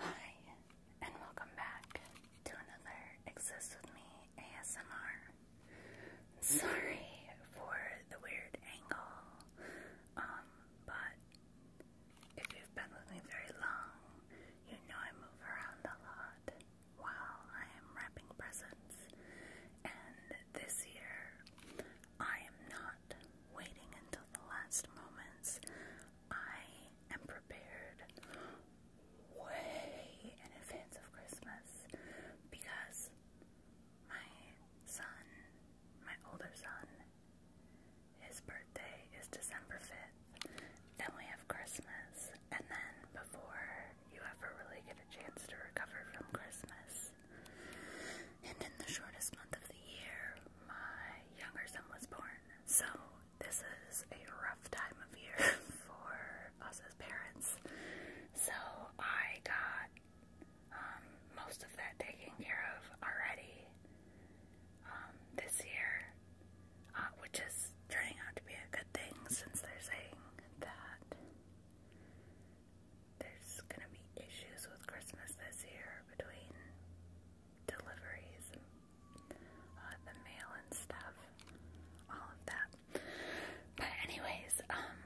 Hi, and welcome back to another Exist With Me ASMR. Sorry for the weird angle, um, but if you've been with me very long, you know I move around a lot while I am wrapping presents, and this year I am not waiting until the last moments. I am prepared way in advance of Christmas because my son, my older son, his birthday is December 5th. Then we have Christmas, and then before you ever really get a chance to recover from Christmas, and in the shortest month of the year, my younger son was born. So this is a rough time of year for us as parents. So I got um, most of that taken care of already um, this year, uh, which is turning out to be a good thing since they're saying that there's gonna be issues with Christmas this year between deliveries, uh, the mail and stuff, all of that. But anyways, um,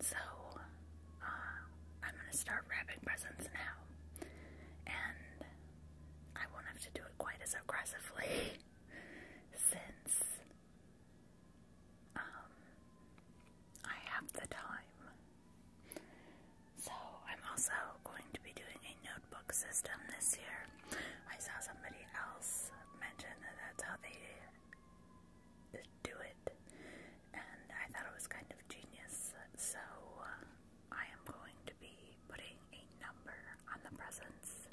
so uh, I'm gonna start wrapping presents now, and I won't have to do it quite as aggressively since um, I have the time so, I'm also going to be doing a notebook system this year. I saw somebody else mention that that's how they do it, and I thought it was kind of genius. So, uh, I am going to be putting a number on the presents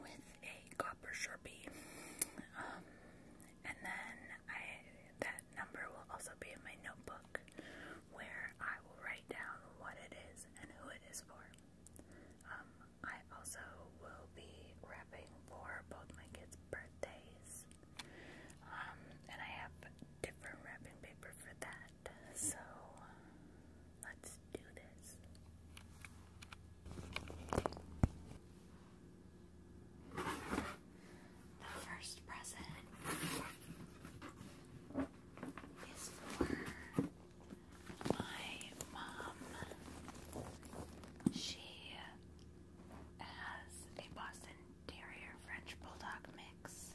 with a copper sharpie. Um, and then I that number will also be in my notebook where I will write down what it is and who it is for. Um, I also will be wrapping for both my kids' birthdays. Um, and I have different wrapping paper for that. So let's do this the first present is for my mom. She has a Boston Terrier French Bulldog mix,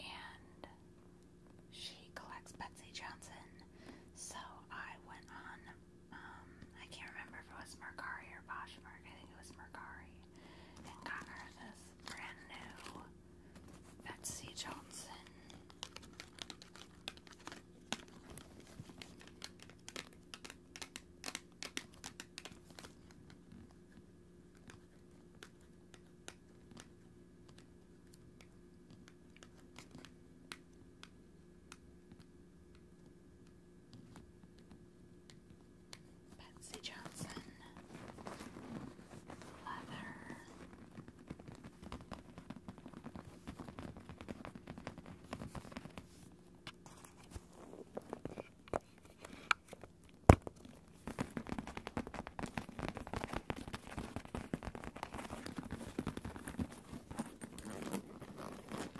and she collects Betsy Johnson. So I went on. Um, I can't remember if it was Mercari or Boshmark. I think it was Mercari and got her this brand new Betsy Johnson. Betsy Johnson leather.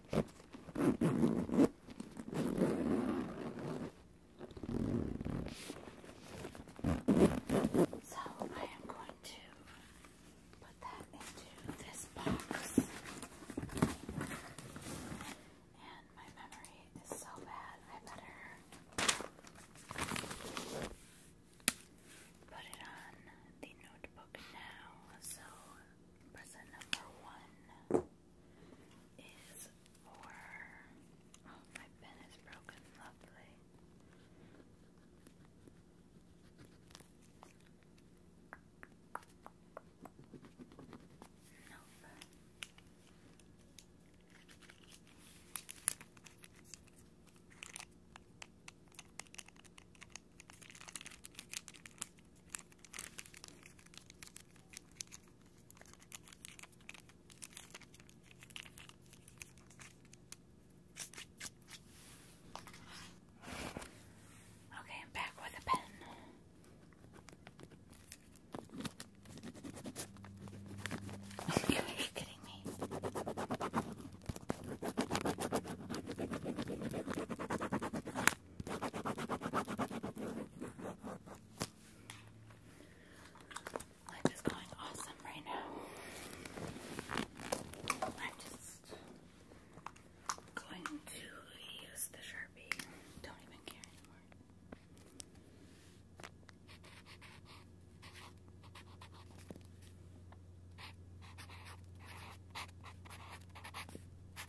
So I am going to put that into this box. And my memory is so bad, I better put it on the notebook now. So, present number one is for. Oh, my pen is broken. Lovely. Nope. Okay, I'm back with a pen. Are you kidding me? Life is going awesome right now. I'm just going to use the Sharpie. Don't even care anymore.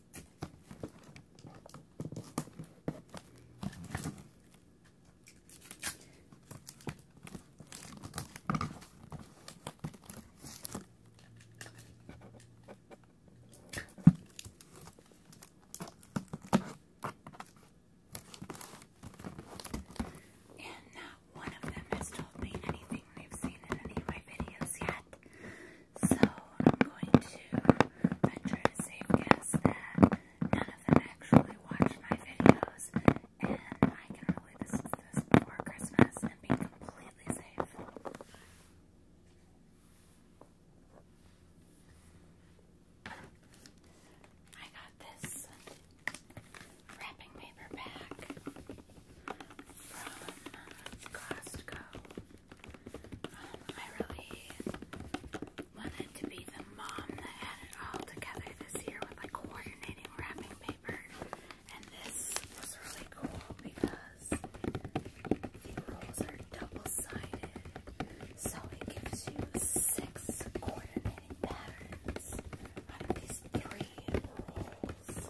And not one of them has told me anything they've seen in any of my videos yet. So I'm going to venture a safe guess that none of them actually watch my videos, and I can really listen this before Christmas and be completely safe. I got this wrapping paper bag from uh, Costco. I really wanted to be the mom that had it all together this year with my coordinating wrapping paper. And this was really cool because the rolls are double-sided. So it gives you six coordinating patterns out of these three rolls.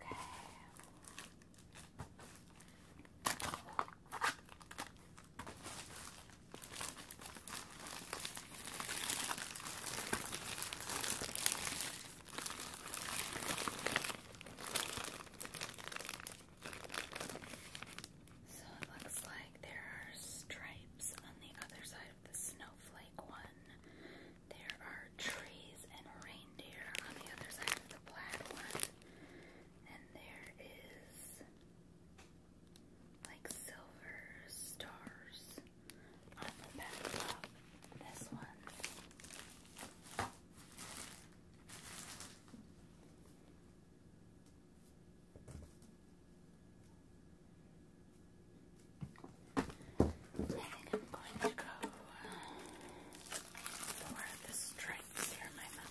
Okay. So it looks like there are stripes on the other side the snowflake one. There are trees and reindeer on the other side of the black one. And there is like silver stars on the back of this one think I'm going to go for the stripes here, my mother.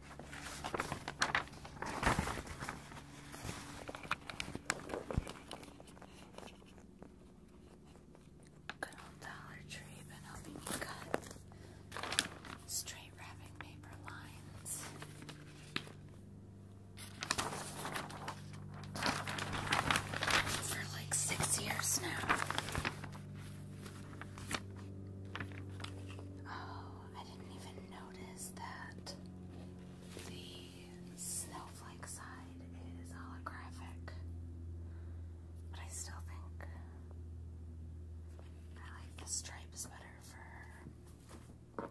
Good old Dollar Tree been helping me cut straight wrapping paper lines. For like six years now. Oh, I didn't even know notice that the snowflake side is holographic, but I still think I like the stripes better for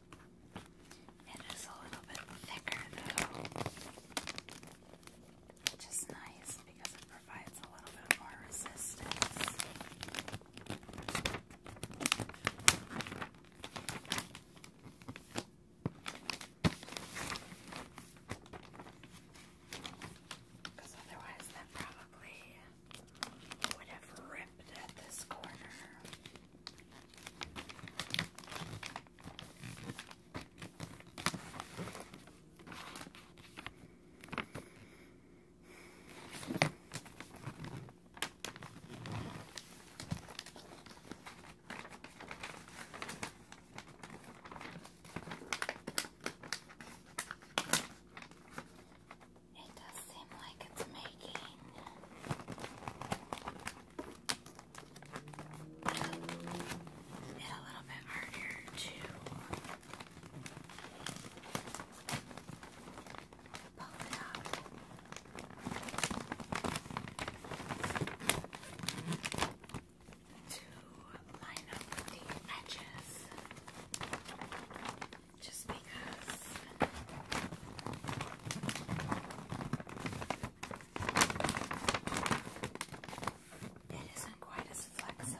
It is a little bit thicker though, which nice because it provides a little bit more resistance. Because otherwise, that probably would have ripped at this corner. It does seem like it's making it a little bit harder to pull it up. To line up the edges just because it isn't quite as flexible.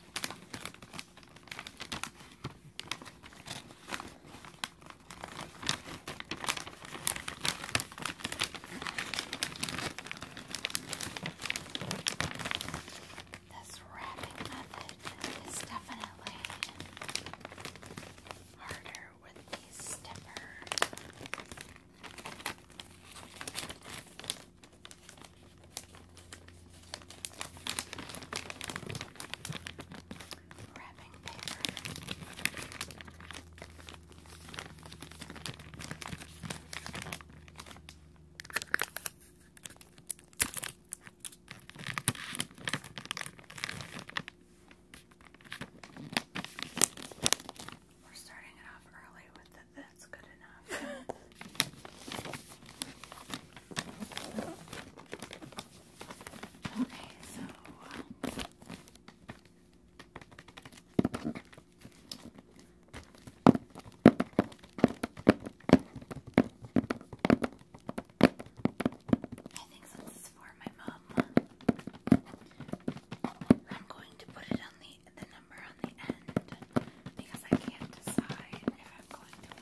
This wrapping method is definitely harder with these stiffer Wrapping paper. We're starting it off early with the, that's good enough. okay, so I think since it's for my mom, I'm going to put it on the the number on the end because I can't decide if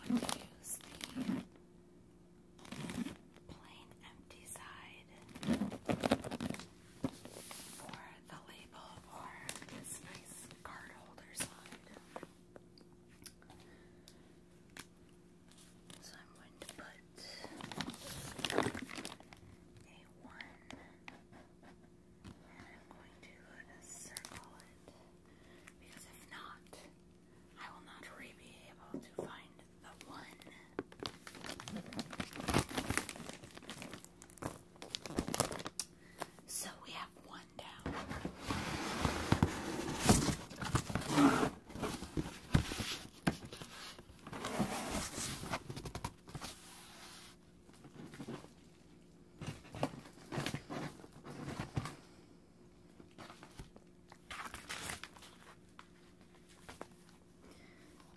I'm going to use the plain empty side for the label or this nice card side. So I'm going to put a one and I'm going to circle it. Because if not, I will not be able to find the one. So we have one down.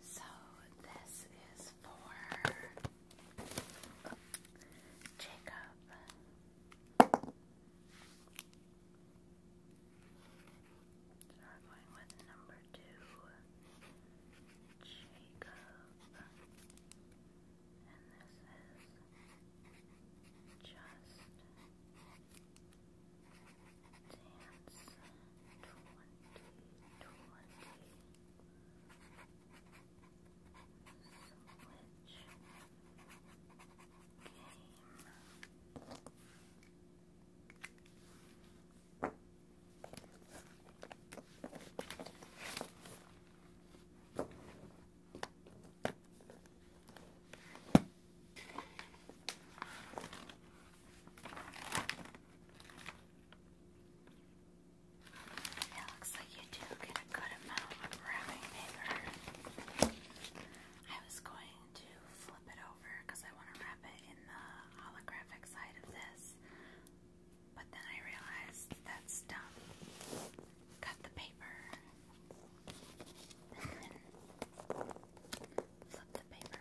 So this is for Jacob. So we're going with number two, Jacob. And this is just dance twenty twenty switch game. Thank you it looks like you do get a good amount of wrapping paper. I was going to flip it over because I want to wrap it in the holographic side of this, but then I realized that's dumb cut the paper flip the paper.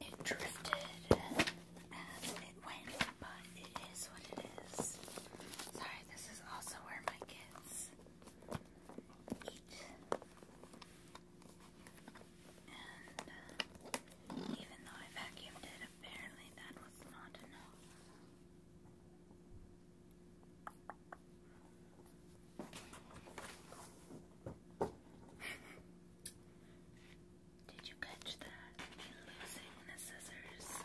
it drifted and it went, but it is what it is. Sorry, this is also where my kids eat. And uh, even though I vacuumed it, apparently that was not enough. Did you catch that? Me losing the scissors.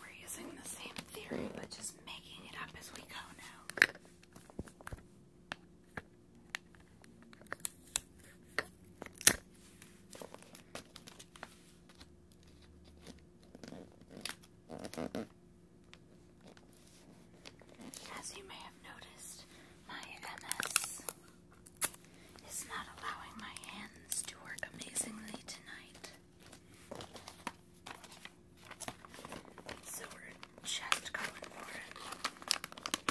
We're using the same theory, but just making it up as we go now. As you may have noticed, my MS is not allowing my hands to work amazingly tonight. So we're just going for it.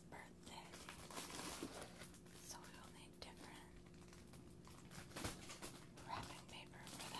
his birthday. So we'll need different wrapping paper for that.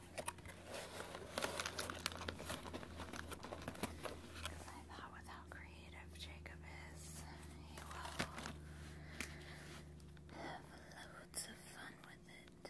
Because I thought with how creative Jacob is, he will have loads of fun with it.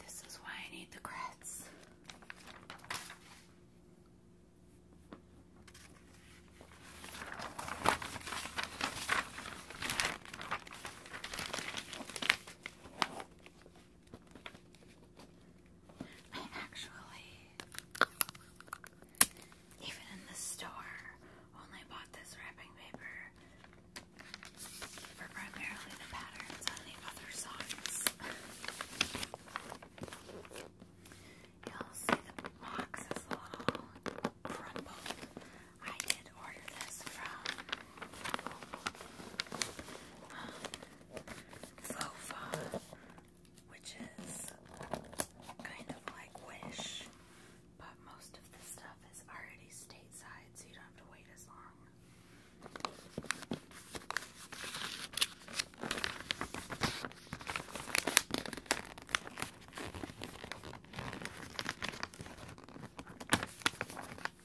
This is why I need the grits. I actually, even in the store, only bought this wrapping paper for primarily the patterns on the other socks. You'll see the box is a I did order this from um, which is kind of like Wish, but most of the stuff is already stateside, so you don't have to wait as long.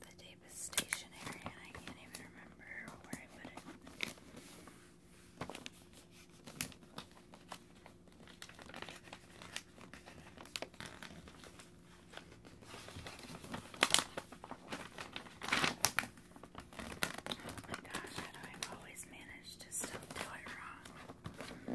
The tape is stationary and I can't even remember where I put it. Oh my gosh, how do I always manage to still it wrong?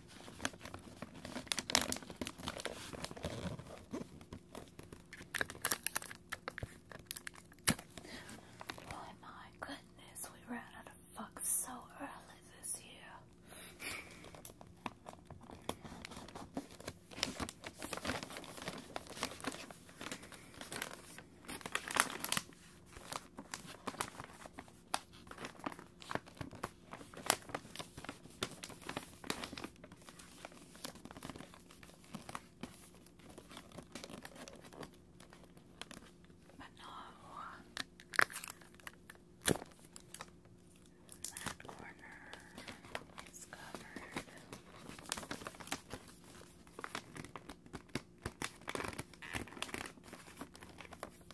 Boy, my goodness, we ran out of fuck so early this year. But no, that corner is covered.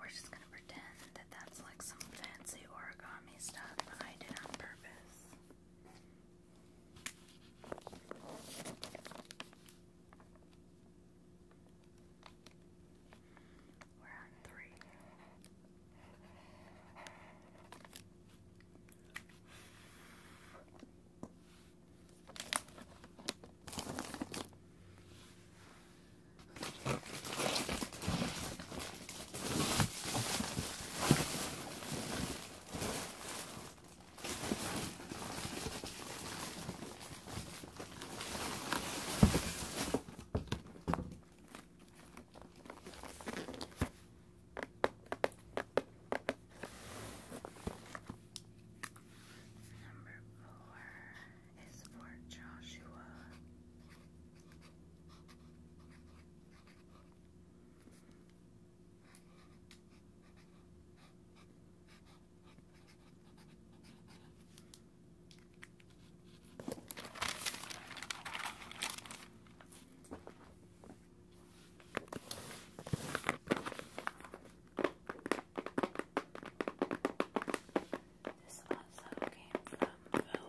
We're just going to pretend that that's like some fancy origami stuff I did on purpose. We're on three. Number four is for Joshua. This also came from Vova.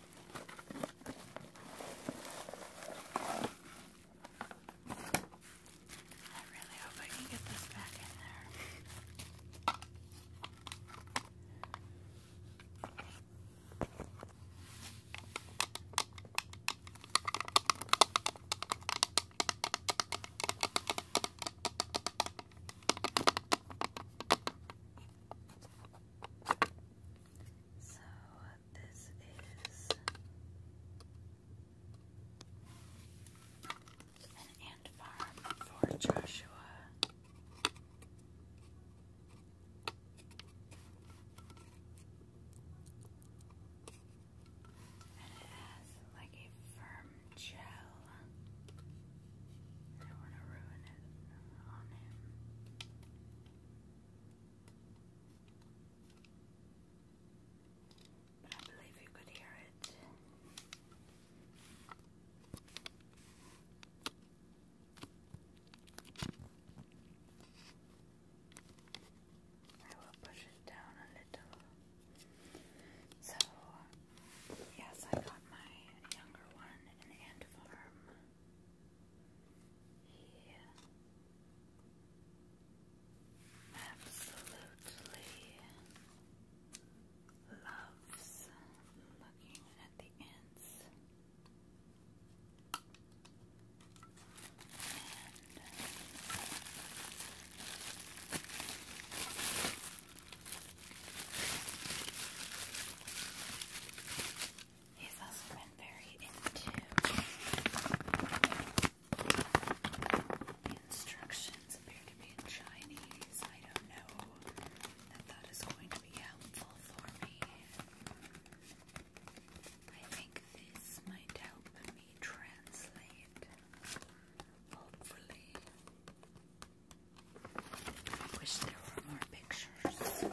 I really hope I can get this back in there. So, uh, this is an ant farm for Joshua. And it has like a firm gel. I don't want to ruin it on him. But I believe you could hear it. I will push it down a little. So, yes, I got my younger one an ant farm. He absolutely loves looking at the ants and He's also been very into the instructions appear to be in Chinese. I don't know that that is going to be helpful for me. I think this might help me translate. Hopefully. wish there were more pictures.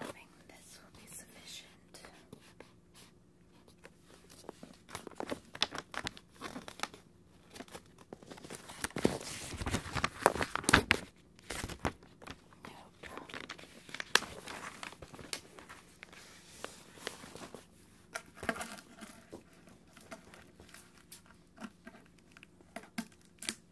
hoping this will be sufficient. Nope.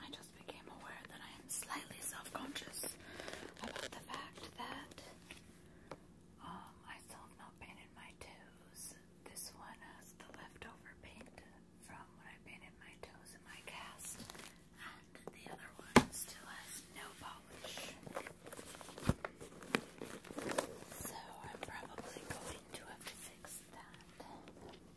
I just became aware that I am slightly self-conscious about the fact that um, I still have not painted my toes. This one has the leftover paint from when I painted my toes in my cast, and the other one still has no polish. So I'm probably going to have to fix that.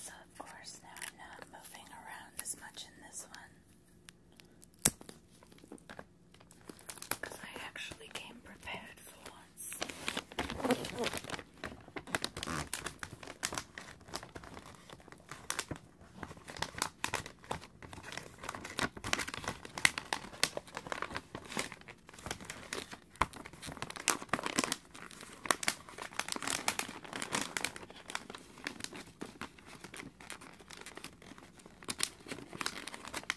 So, of course, now I'm not moving around as much in this one. Because I actually came prepared for once.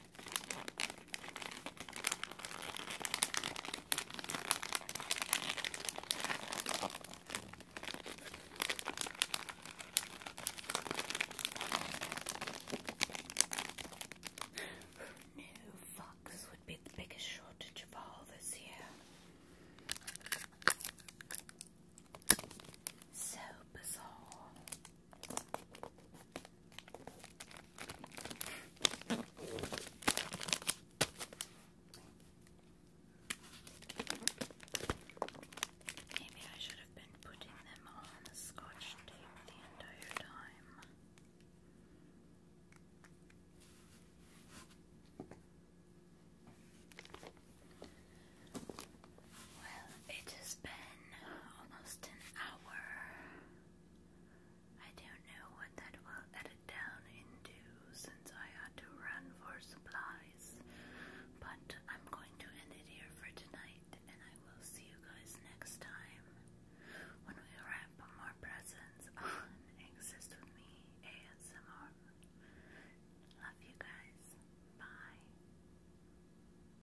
Who knew fox would be the biggest shortage of all this year? So bizarre. Maybe I should have been putting them on scotch tape the entire time. Well, it has been almost an hour. I don't know what that will edit down into since I had to run for supplies, but I'm going to end it here for tonight and I will see you guys next time when we wrap more presents on Exist With Me ASMR. Love you guys. Bye.